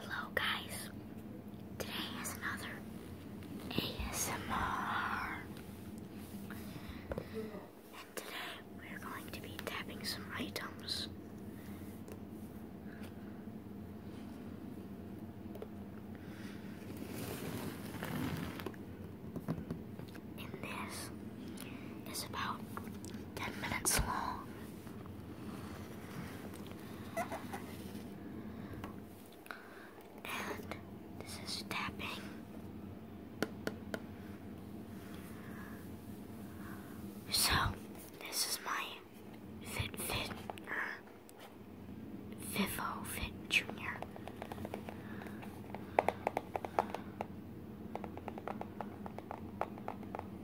Hello guys, today is another ASMR and today we're going to be tapping some items. And this is about 10 minutes long. And this is tapping. So, this is my FitFit, or er, Vivo Fit Junior.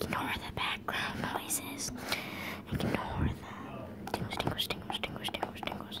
Ignore the background noises. Ignore them. Tingles, tingles, tingles, tingles, tingles, tingles.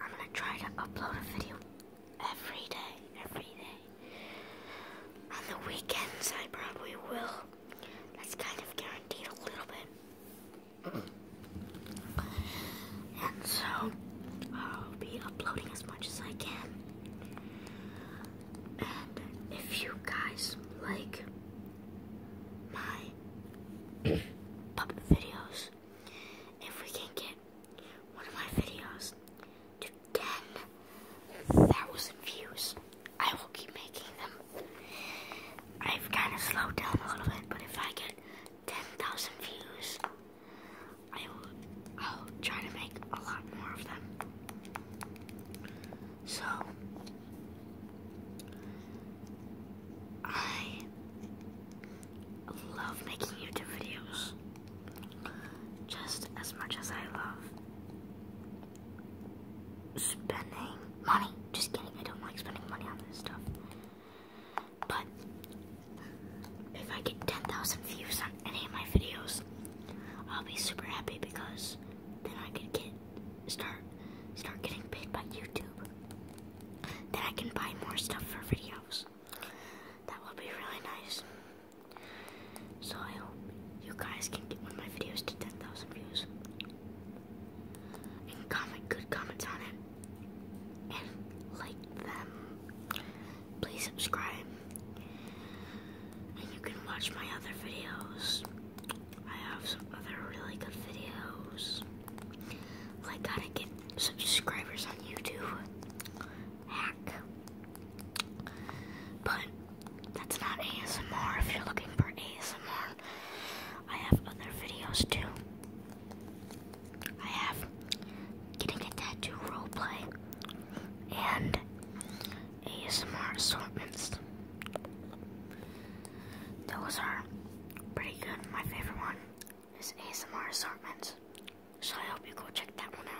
I'm gonna try to upload a video every day, every day. On the weekends, I probably will. That's kind of guaranteed a little bit. and so, I'll be uploading as much as I can. And if you guys like my puppet videos, if we can get one of my videos to 10,000 views. I will keep making them. I've kind of slowed down a little bit, but if I get 10,000 views, I will, try to make a lot more of them. So, I love making YouTube videos just as much as I love spending money. Just kidding, I don't like spending money on this stuff. But if I get 10,000 views on any of my videos, I'll be super happy because then I could get start start getting paid by YouTube. Then I can buy more stuff for videos. That would be really nice. So I hope you guys can get one of my videos to 10,000 views. And comment good comments on it. And like them. Please subscribe. And you can watch my other videos. I have some other really good videos. I gotta get subscribers on YouTube. Hack. But that's not ASMR if you're looking for ASMR. I have other videos too. I have getting a tattoo roleplay and ASMR assortments. Those are pretty good, my favorite one is ASMR Assortment. So I hope you go check that one out.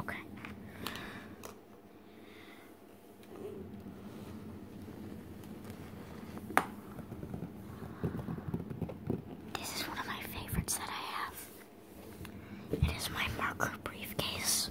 Okay. This is one of my favorites that I have. It is my marker briefcase.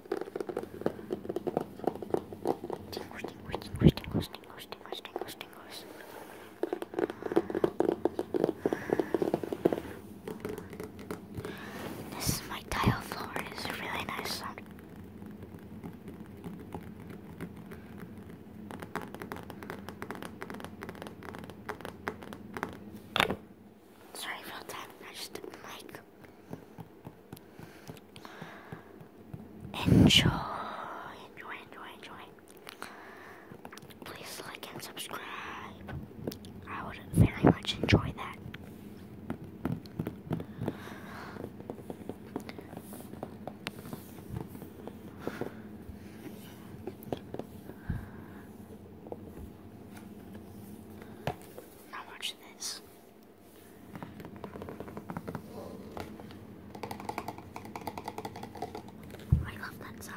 Tingles, tingles, tingles, tingles, tingles, tingles, tingles, tingles. This is my tile floor, and it's really nice Sorry about that, I just didn't like Enjoy, enjoy, enjoy, enjoy. Please like and subscribe. I would very much enjoy that. Now watch this. I love that sound.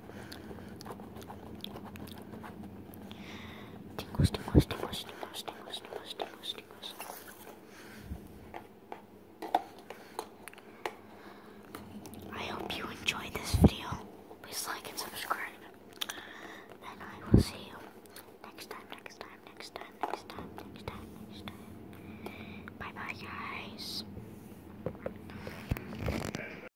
Tingles, tingles, tingles, tingles, tingles, tingles, tingles, tingles. I hope you enjoyed this video. Please like and subscribe. And I will see you next time, next time, next time, next time, next time, next time. Bye bye, guys.